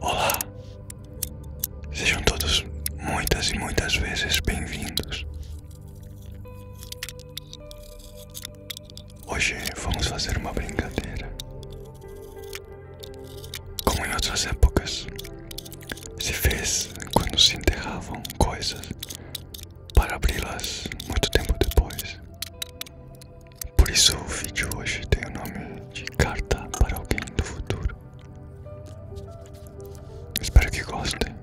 Olá, sejam todos muitas e muitas vezes bem-vindos. Hoje vamos fazer uma brincadeira. Como em outras épocas, se fez quando se enterravam coisas para abri-las muito tempo depois. Por isso o vídeo hoje tem o nome de Carta para Alguém do Futuro. Espero que gostem.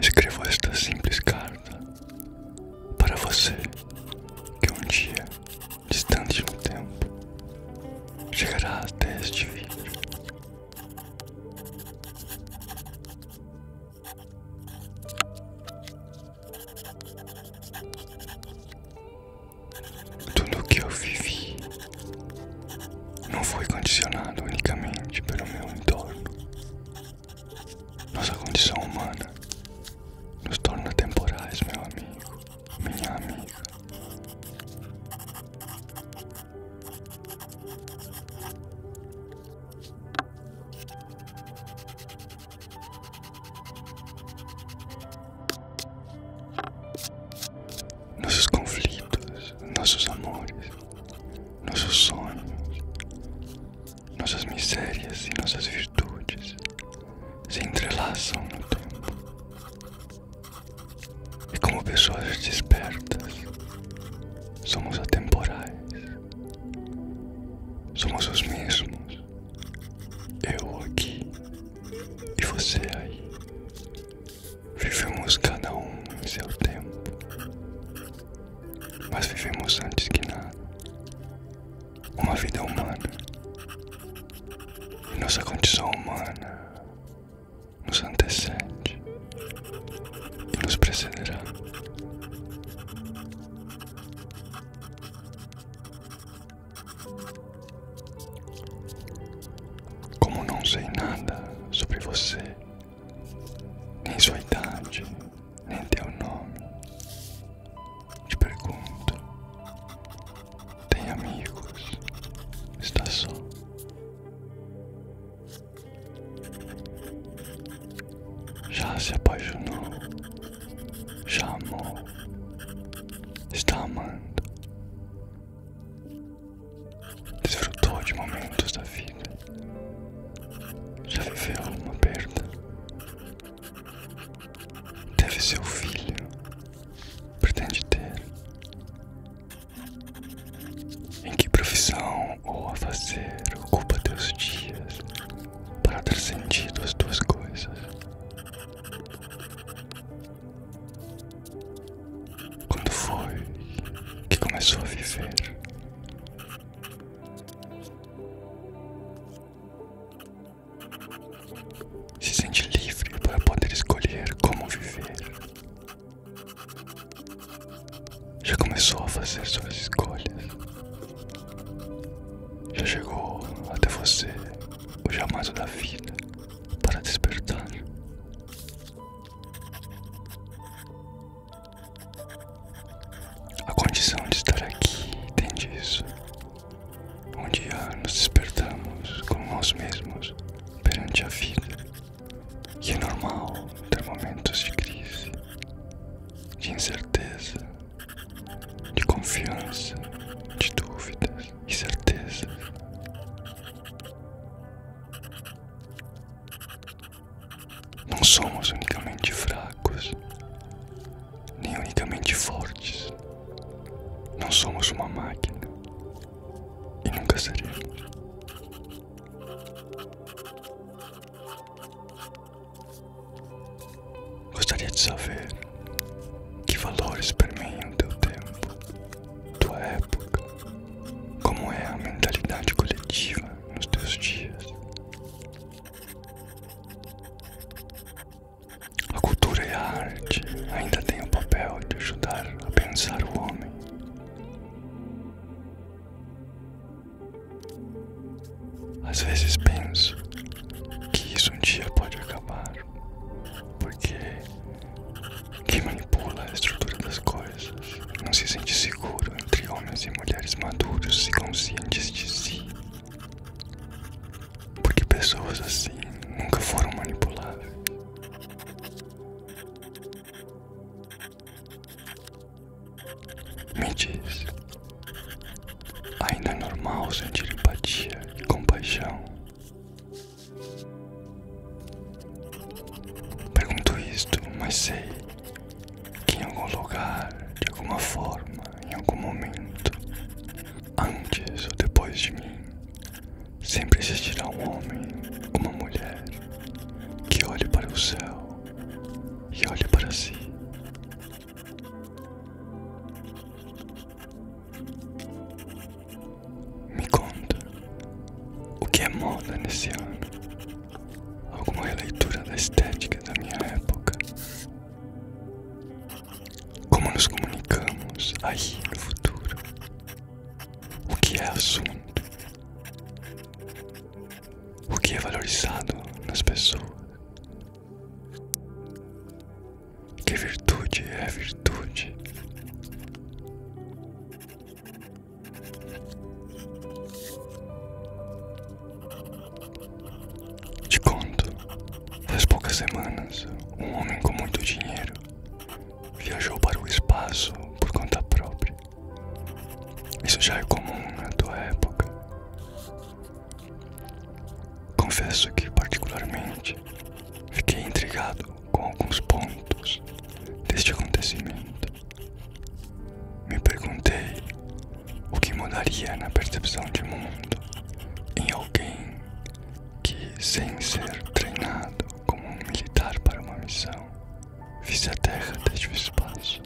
Escrevo esta simples carta para você que um dia, distante no tempo, chegará até este vídeo. Tudo o que eu vivi não foi condicionado unicamente pelo meu entorno. Nossa condição humana nos torna temporais, meu amigo, minha amiga. Nossos conflitos, nossos amores, nossos sonhos, nossas misérias e nossas virtudes se entrelaçam no tempo. E como pessoas despertas, somos atemporais. Somos os mesmos. Eu aqui e você aí. Vivemos cada um em seu tempo. Mas vivemos antes que nada uma vida humana. E nossa condição humana nos antecede e nos precederá. Como não sei nada sobre você, nem sua idade, nem teu nome. Te pergunto: tem amigos? Está só? Já se apaixonou? Já amou? Está amando? Desfrutou de momentos da vida? Já viveu alguma perda? Deve ser o filho. Pretende ter. Em que profissão ou a fazer ocupa teus dias para dar sentido às tuas coisas? Quando foi que começou a viver? Se sente livre para poder escolher como viver. Já começou a fazer suas escolhas. Já chegou até você o jamais da vida para despertar. A condição de estar aqui tem disso. Um dia nos despertamos como nós mesmos perante a vida. E é normal ter momentos de crise, de incerteza, de confiança, de dúvidas e certezas. Não somos unicamente fracos, nem unicamente fortes. Não somos uma máquina e nunca seremos. Gostaria de saber que valores permeiam teu tempo, tua época, como é a mentalidade coletiva nos teus dias, a cultura e a arte ainda têm o papel de ajudar a pensar o homem. Às vezes penso que isso um dia pode acabar, porque quem manipula a estrutura das coisas não se sente seguro entre homens e mulheres maduros e conscientes de si. Porque pessoas assim nunca foram manipuladas. Me diz, ainda é normal sentir empatia e compaixão? Pergunto isto, mas sei que em algum lugar, de alguma forma, em algum momento, antes ou depois de mim, sempre existirá um homem, uma mulher, que olhe para o céu e olhe para si. Me conta o que é moda nesse ano, alguma releitura da estética da minha época. Como nos comunicamos aí no futuro? O que é assunto? O que é valorizado nas pessoas? Que virtude é virtude? Te conto, faz poucas semanas, um homem com muito dinheiro viajou para o espaço por conta própria. Isso já é comum na tua época. Confesso que, particularmente, fiquei intrigado com alguns pontos deste acontecimento me perguntei o que mudaria na percepção de mundo em alguém que, sem ser treinado como um militar para uma missão, visse a Terra desde o espaço.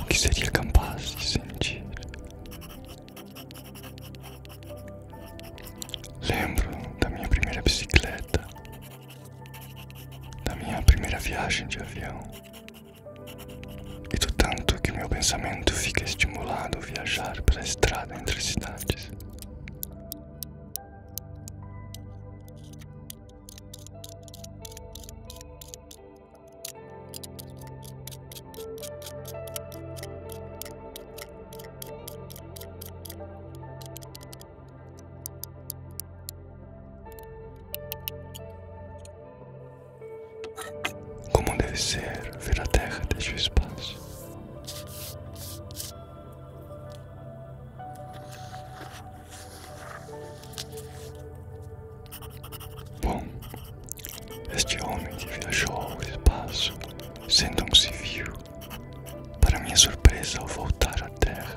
O que seria capaz de sentir? Lembro da minha primeira bicicleta, da minha primeira viagem de avião e do tanto que meu pensamento fica estimulado a viajar pela estrada entre cidades. Como deve ser, ver a terra desde o espaço. Bom, este homem que viajou ao espaço, sendo um civil, para minha surpresa ao voltar à terra,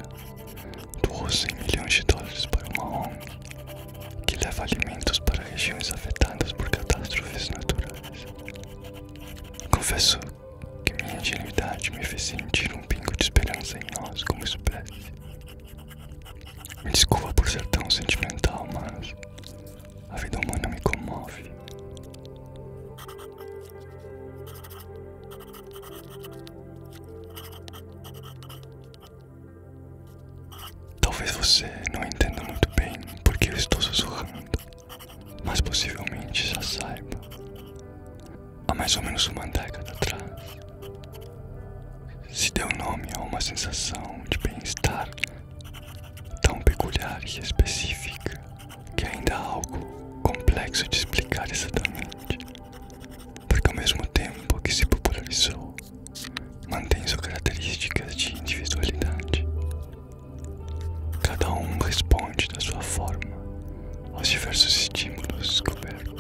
doou 100 milhões de dólares para uma ONG que leva alimentos para regiões afetadas por catástrofes naturais. Confesso que minha ingenuidade me fez sentir um pingo de esperança em nós como espécie. Me desculpa por ser tão sentimental, mas a vida humana me comove. Talvez você não entenda muito bem porque eu estou sussurrando, mas possivelmente já saiba. Há mais ou menos uma década atrás, se deu nome a uma sensação de bem-estar tão peculiar e específica que ainda é algo complexo de explicar exatamente, porque ao mesmo tempo que se popularizou, mantém suas características de individualidade. Cada um responde da sua forma aos diversos estímulos descobertos.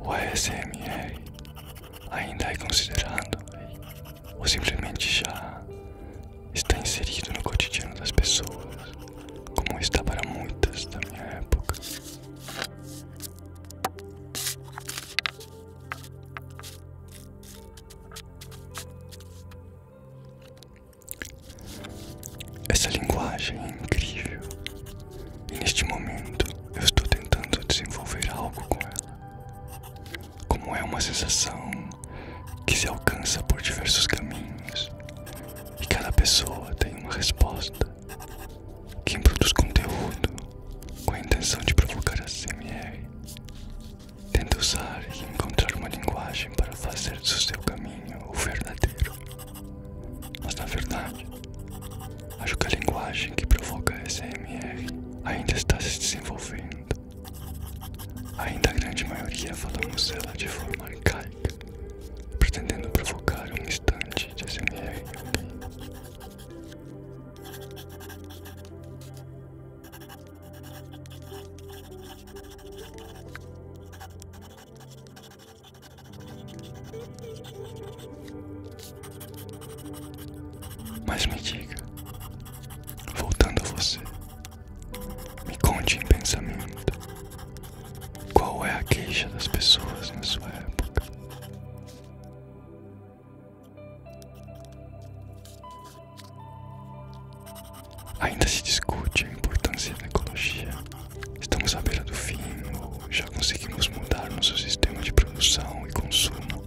O ASMR ainda é considerado ou simplesmente já está inserido no cotidiano das pessoas, como está para muitas da minha época. Essa linguagem é incrível e neste momento eu estou tentando desenvolver algo com ela. Como é uma sensação que se alcança por diversos caminhos e cada pessoa tem uma resposta quem produz conteúdo com a intenção de provocar a CMR tenta usar e encontrar uma linguagem para fazer do seu caminho o verdadeiro. Mas na verdade, acho que a linguagem que provoca a SMR ainda está se desenvolvendo. Ainda a grande maioria falamos ela de forma arcaica, pretendendo provocar um instante de SMR em alguém. Mas me diga, voltando a você, me conte em pensamento qual é a queixa das pessoas na sua época. Ainda se discute a importância da ecologia. Estamos à beira do fim ou já conseguimos mudar nosso sistema de produção e consumo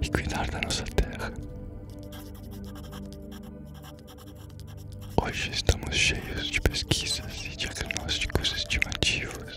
e cuidar da nossa terra. Hoje estamos cheios de pesquisas e diagnósticos estimativos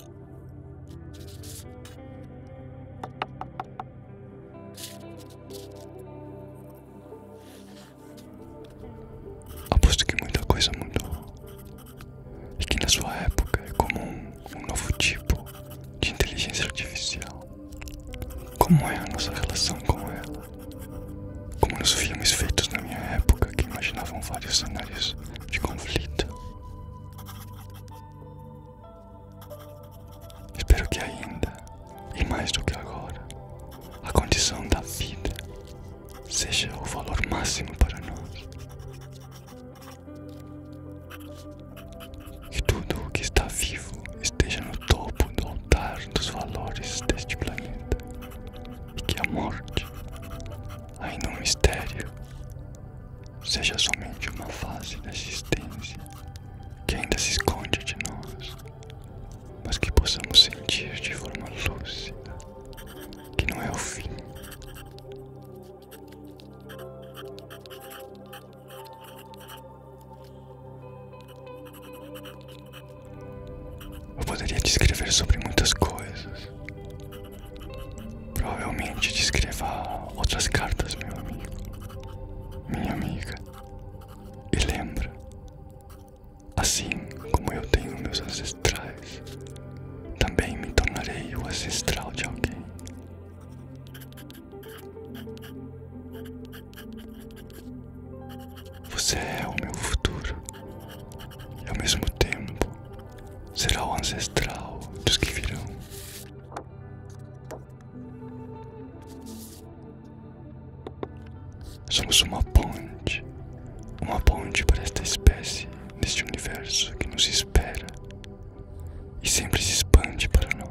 Aposto que muita coisa mudou e que na sua época é como um novo tipo de inteligência artificial. Como é a nossa relação com ela? Como nos filmes feitos na minha época que imaginavam vários cenários de conflito. Espero que ainda, e mais do que agora, a condição da vida seja o valor máximo para nós. Que tudo o que está vivo esteja no topo do altar dos valores deste planeta. E que a morte, ainda é um mistério, seja somente uma fase da existência que ainda se esconde de nós, mas que possamos sentir de forma lúcida que não é o fim. Eu poderia descrever sobre muitas coisas, Provavelmente te escreva outras cartas, meu amigo, minha amiga. E lembra, assim como eu tenho meus ancestrais, também me tornarei o ancestral de alguém. Você é o meu futuro e ao mesmo tempo será o ancestral dos que virão. Somos uma ponte, uma ponte para esta espécie neste universo que nos espera e sempre se expande para nós.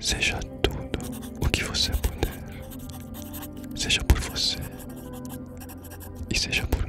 Seja tudo o que você puder, seja por você e seja por mim.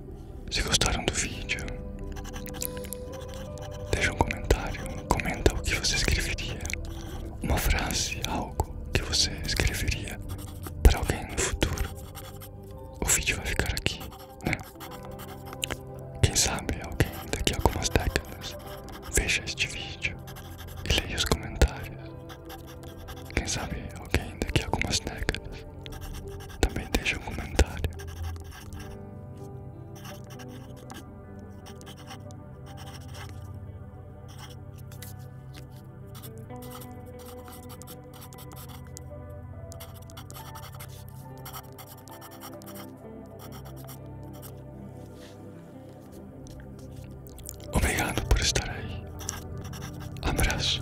Se gostaram do vídeo, deixe um comentário, comenta o que você escreveria, uma frase, algo que você escreveria para alguém no futuro. O vídeo vai ficar aqui, né? Quem sabe alguém daqui a algumas décadas veja este vídeo e leia os comentários. Quem sabe alguém daqui a algumas décadas também deixa um comentário Obrigado por estar aí. Abraço.